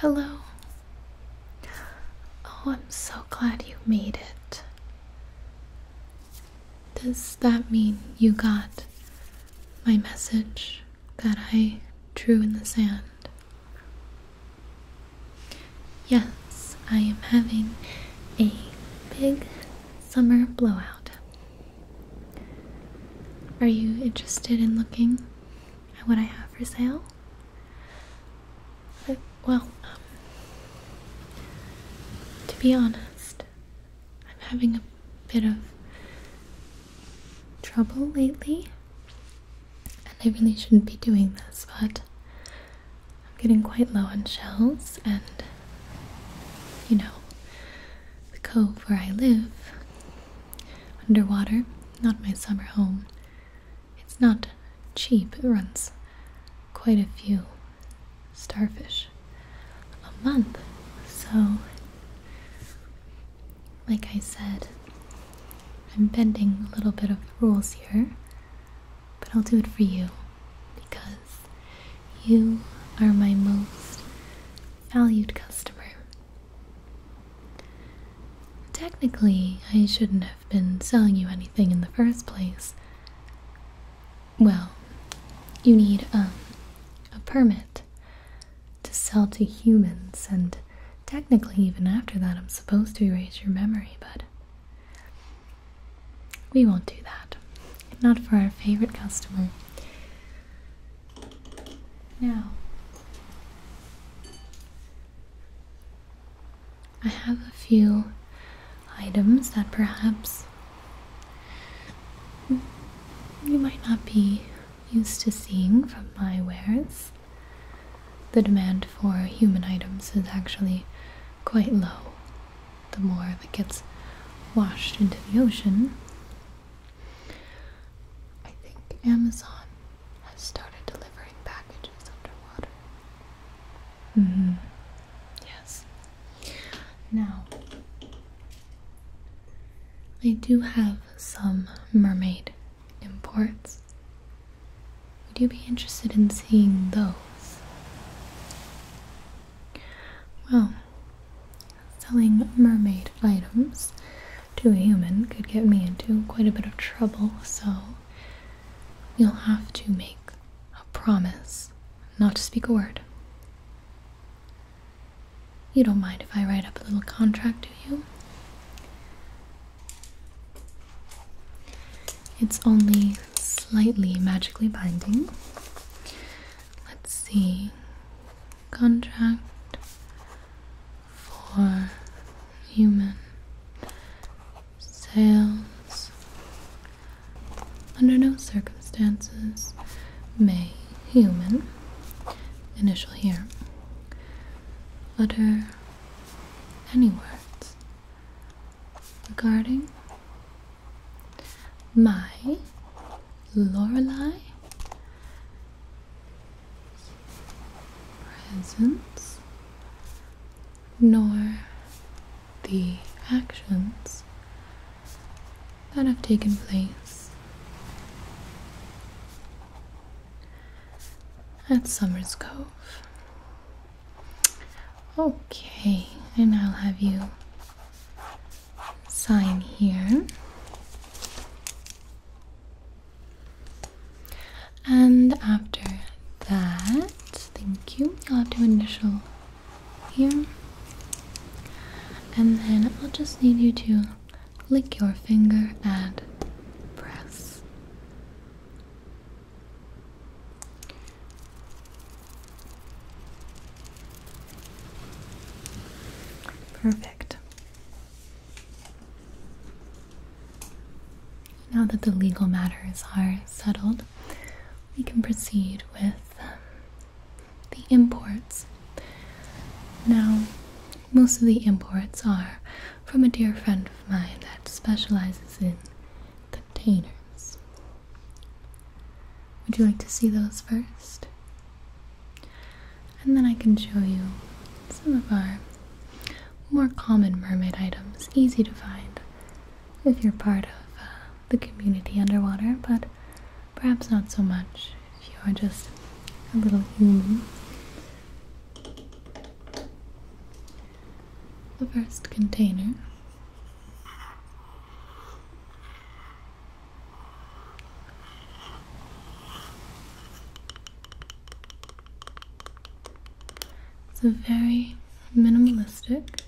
Hello. Oh, I'm so glad you made it. Does that mean you got my message that I drew in the sand? Yes, I am having a big summer blowout. Are you interested in looking at what I have for sale? Uh, well, um, to be honest, I'm having a bit of trouble lately, and I really shouldn't be doing this, but I'm getting quite low on shells, and you know, the cove where I live. Underwater, not my summer home. It's not cheap, it runs quite a few starfish a month. So, like I said, I'm bending a little bit of the rules here, but I'll do it for you because you are my most valued customer. Technically, I shouldn't have been selling you anything in the first place. Well, you need um, a permit to sell to humans, and technically, even after that, I'm supposed to erase your memory, but we won't do that. Not for our favorite customer. Now, I have a few items that perhaps you might not be used to seeing from my wares. The demand for human items is actually quite low the more that gets washed into the ocean. I think Amazon has started delivering packages underwater. Mm hmm. Yes. Now, I do have some mermaid imports. Would you be interested in seeing those? Well, selling mermaid items to a human could get me into quite a bit of trouble, so you'll have to make a promise not to speak a word. You don't mind if I write up a little contract do you? It's only slightly magically binding let's see, contract for human sales under no circumstances may human initial here utter any words regarding my Lorelei presence nor the actions that have taken place at Summers Cove. Okay, and I'll have you sign here. And after that, thank you, I'll have to initial here. And then I'll just need you to lick your finger and press. Perfect. Now that the legal matters are settled, we can proceed with um, the imports. Now, most of the imports are from a dear friend of mine that specializes in the containers. Would you like to see those first? And then I can show you some of our more common mermaid items, easy to find if you're part of uh, the community underwater, but perhaps not so much if you are just a little human. The first container it's a very minimalistic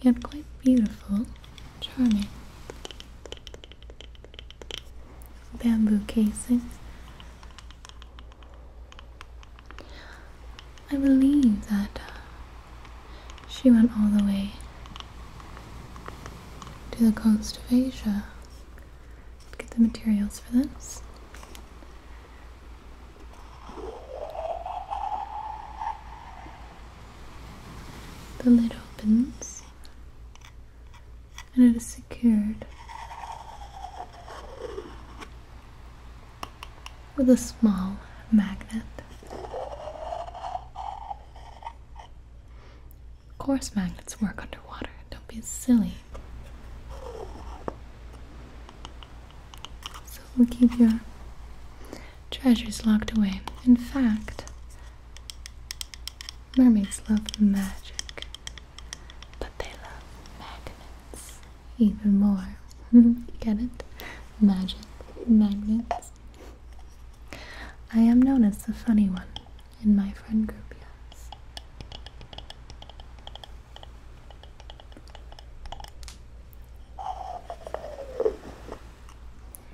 yet quite beautiful, charming bamboo casing I believe that uh, she went all the way to the coast of Asia to get the materials for this. The lid opens and it is secured with a small magnet. Of course, magnets work underwater. Don't be silly. So we'll keep your treasures locked away. In fact, mermaids love magic. But they love magnets even more. Get it? Magic magnets. I am known as the funny one in my friend group, yes.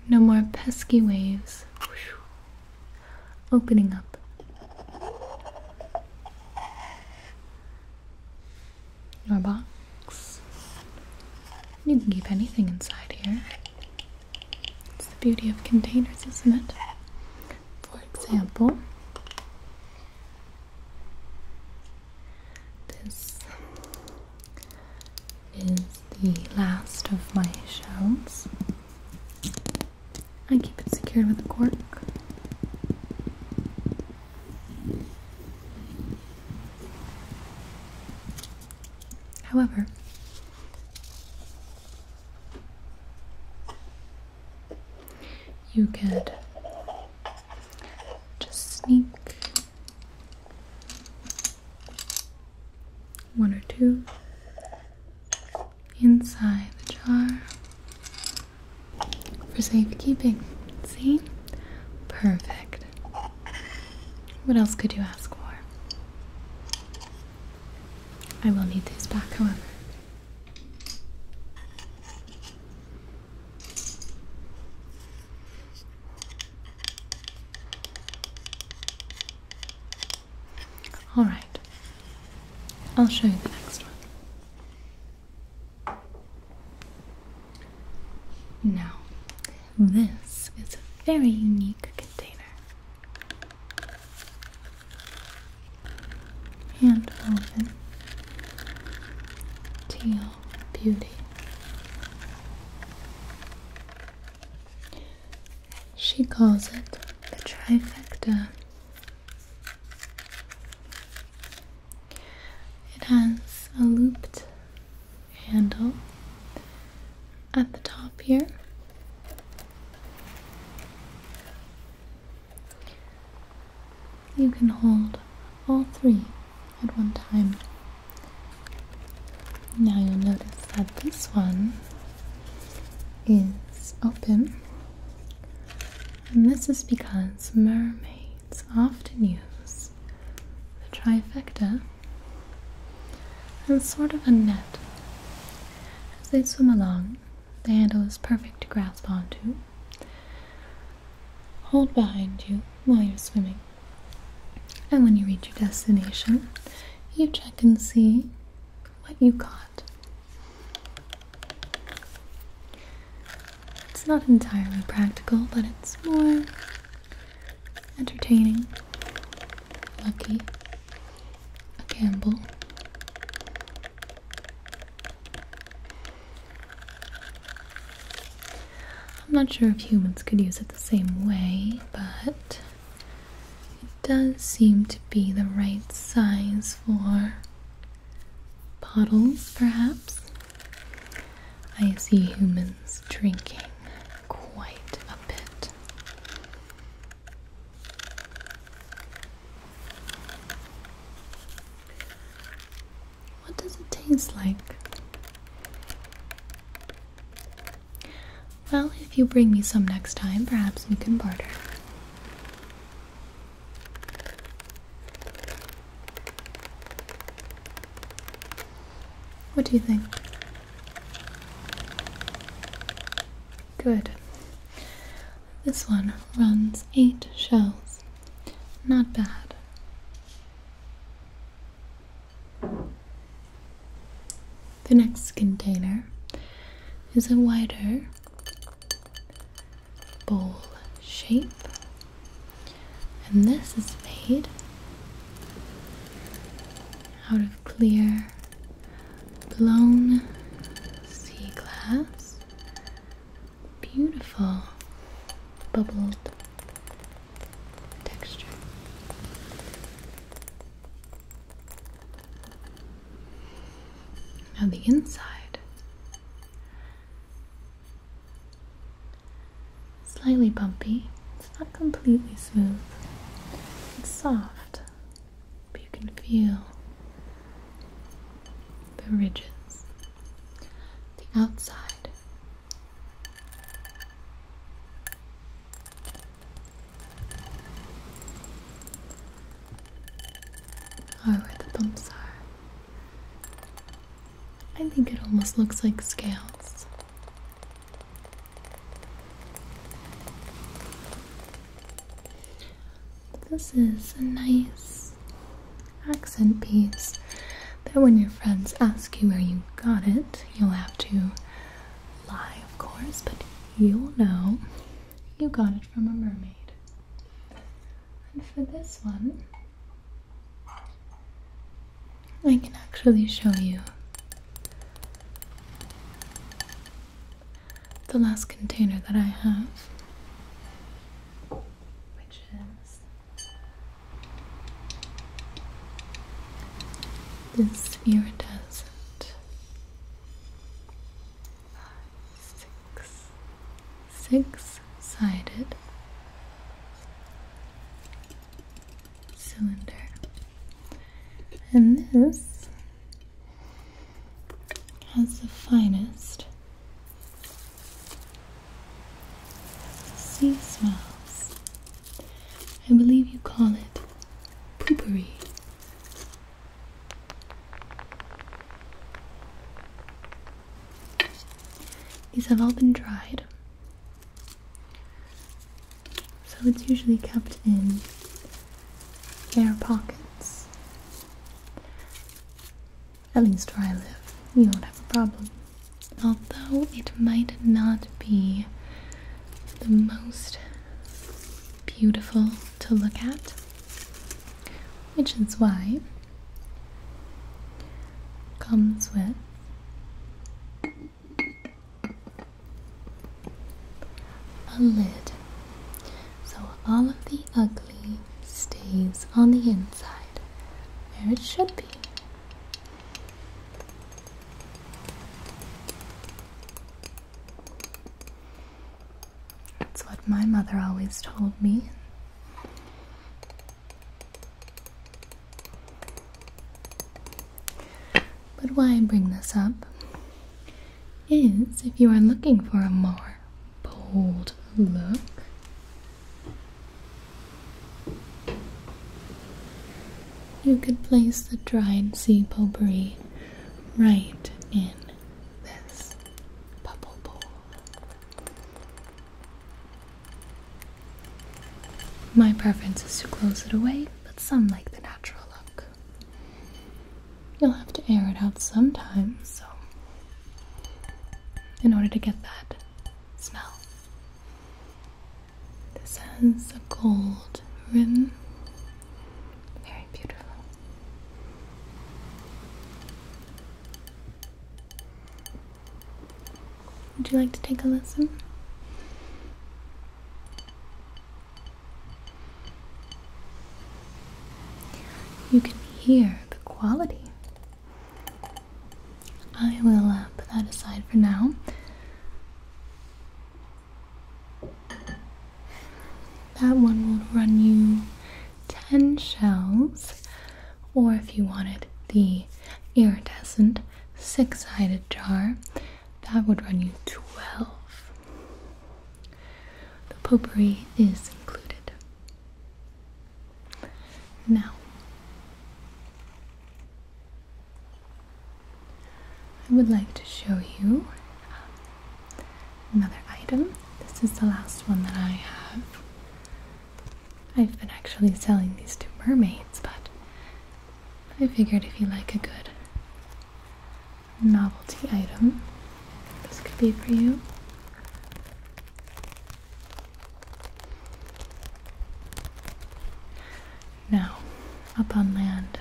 No more pesky waves opening up. Your box. You can keep anything inside here. It's the beauty of containers, isn't it? For example, this is the last of my shells. I keep it secured with a cork. However, you could just sneak one or two inside the jar for safekeeping. See? Perfect. What else could you ask for? I will need these back, however. All right. I'll show you the next one. Now, this is a very unique container. Hand woven teal beauty. She calls it the trifecta. It has a looped handle at the top here. You can hold all three at one time. Now you'll notice that this one is open, and this is because mermaids often use the trifecta and sort of a net. As they swim along, the handle is perfect to grasp onto. Hold behind you while you're swimming. And when you reach your destination, you check and see what you got. It's not entirely practical, but it's more entertaining. Lucky. A gamble. I'm not sure if humans could use it the same way, but it does seem to be the right size for bottles, perhaps. I see humans drinking quite a bit. What does it taste like? Well, if you bring me some next time, perhaps we can barter. What do you think? Good. This one runs eight shells. Not bad. The next container is a wider bowl shape, and this is made out of clear blown sea glass, beautiful bubbled texture. Now the inside, slightly bumpy. It's not completely smooth. It's soft, but you can feel the ridges. The outside are oh, where the bumps are. I think it almost looks like scales. This is a nice accent piece that when your friends ask you where you got it, you'll have to lie, of course, but you'll know you got it from a mermaid. And for this one, I can actually show you the last container that I have, which is this iridescent six six sided cylinder. And this has the finest sea smells I believe you call it poopery. These have all been dried. So it's usually kept in air pockets. At least where I live, we do not have a problem although it might not be the most beautiful to look at, which is why it comes with a lid. So all of the ugly stays on the inside where it should be. That's what my mother always told me. But why bring this up is if you are looking for a more bold look, you could place the dried sea potpourri right in this bubble bowl. My preference is to close it away, but some like the natural look. You'll have to air it out sometime, so in order to get that smell. This has a gold rim. Very beautiful. Would you like to take a listen? You can hear the quality I will uh, put that aside for now. That one will run you 10 shells, or if you wanted the iridescent six sided jar, that would run you 12. The potpourri is included. Now, I would like to show you another item. This is the last one that I have. I've been actually selling these to mermaids, but I figured if you like a good novelty item, this could be for you. Now, up on land,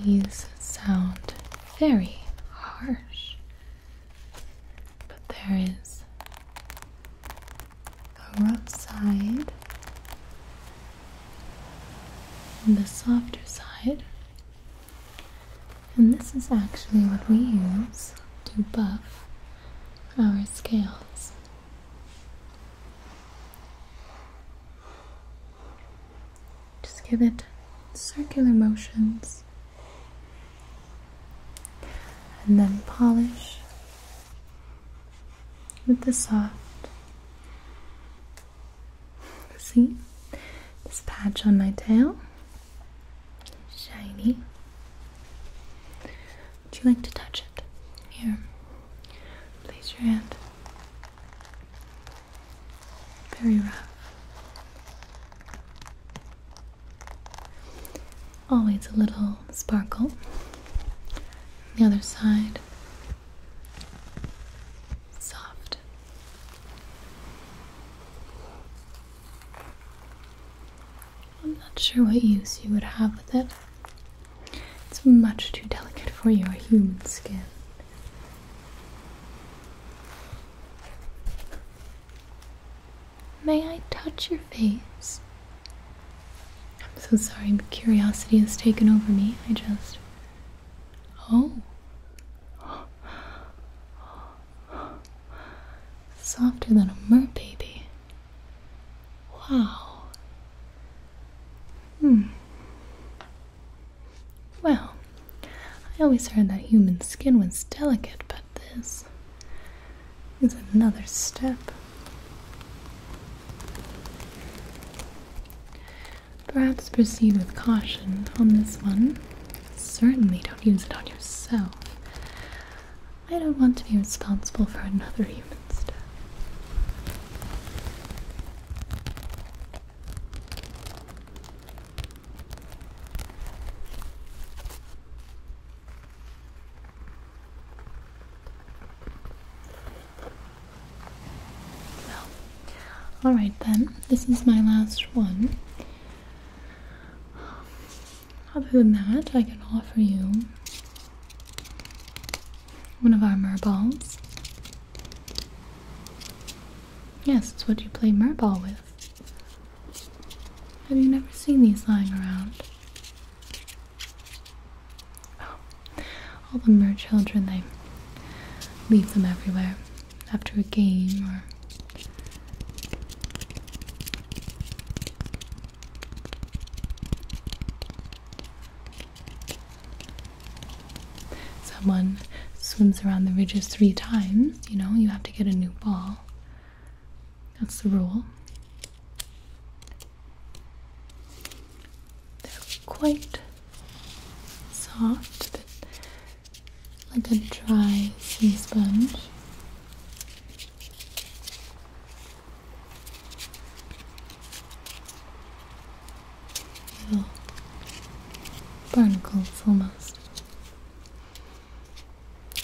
these sound very harsh, but there is a rough side the softer side. And this is actually what we use to buff our scales. Just give it circular motions and then polish with the soft. See this patch on my tail? shiny. Would you like to touch it? Here, place your hand. Very rough. Always a little sparkle. the other side, soft. I'm not sure what use you would have with it. It's much too delicate for your human skin. May I touch your face? I'm so sorry, but curiosity has taken over me. I just. Oh. oh. Softer than a mer baby. Wow. Hmm. Well, I always heard that human skin was delicate, but this is another step. Perhaps proceed with caution on this one certainly don't use it on yourself. I don't want to be responsible for another human's death. Well, alright then, this is my last one. Other than that, I can offer you one of our merballs. Yes, it's what you play merball with. Have you never seen these lying around? Oh, all the mer children, they leave them everywhere after a game or someone swims around the ridges three times, you know, you have to get a new ball. That's the rule. They're quite soft, like a dry sea sponge. Little barnacles almost.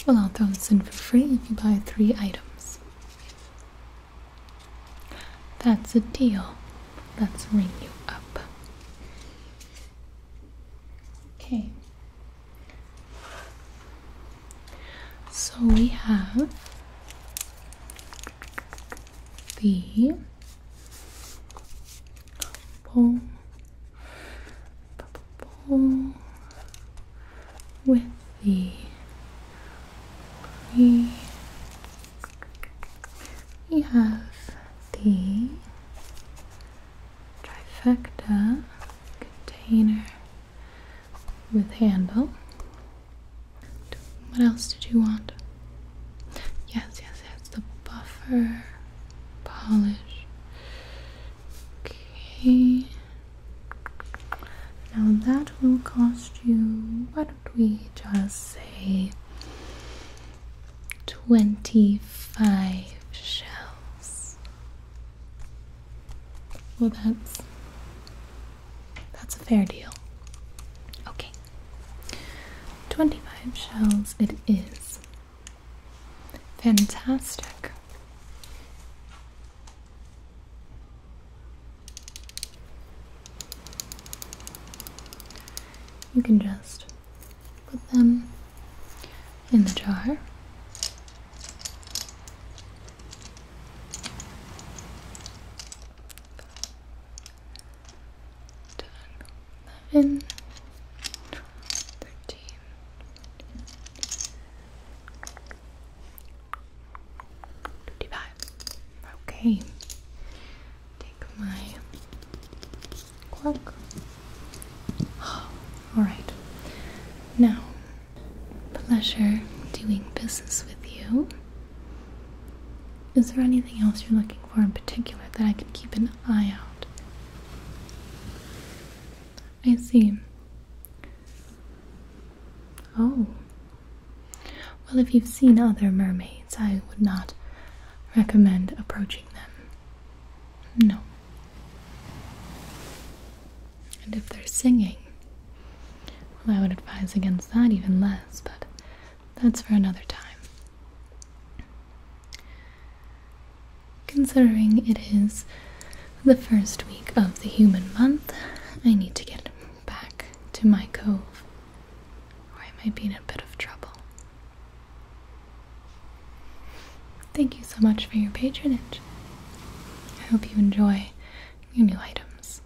Well, I'll throw this in for free if you buy three items. That's a deal. Let's ring you up. Okay. So we have the bowl, with the we we have the trifecta container with handle. What else did you want? Yes, yes, yes, the buffer polish. Okay. Now that will cost you, why don't we just say 25 shells. Well, that's that's a fair deal. Okay. 25 shells it is. Fantastic. You can just Put them in the jar. Eleven, thirteen. Twenty-five. Okay take my cork. Alright. Now, pleasure doing business with you. Is there anything else you're looking for in particular that I can keep an eye out? I see. Oh. Well, if you've seen other mermaids, I would not recommend approaching them. No. And if they're singing, well, I would advise against that even less, but that's for another time. Considering it is the first week of the human month, I need to get back to my cove, or I might be in a bit of trouble. Thank you so much for your patronage. I hope you enjoy your new items.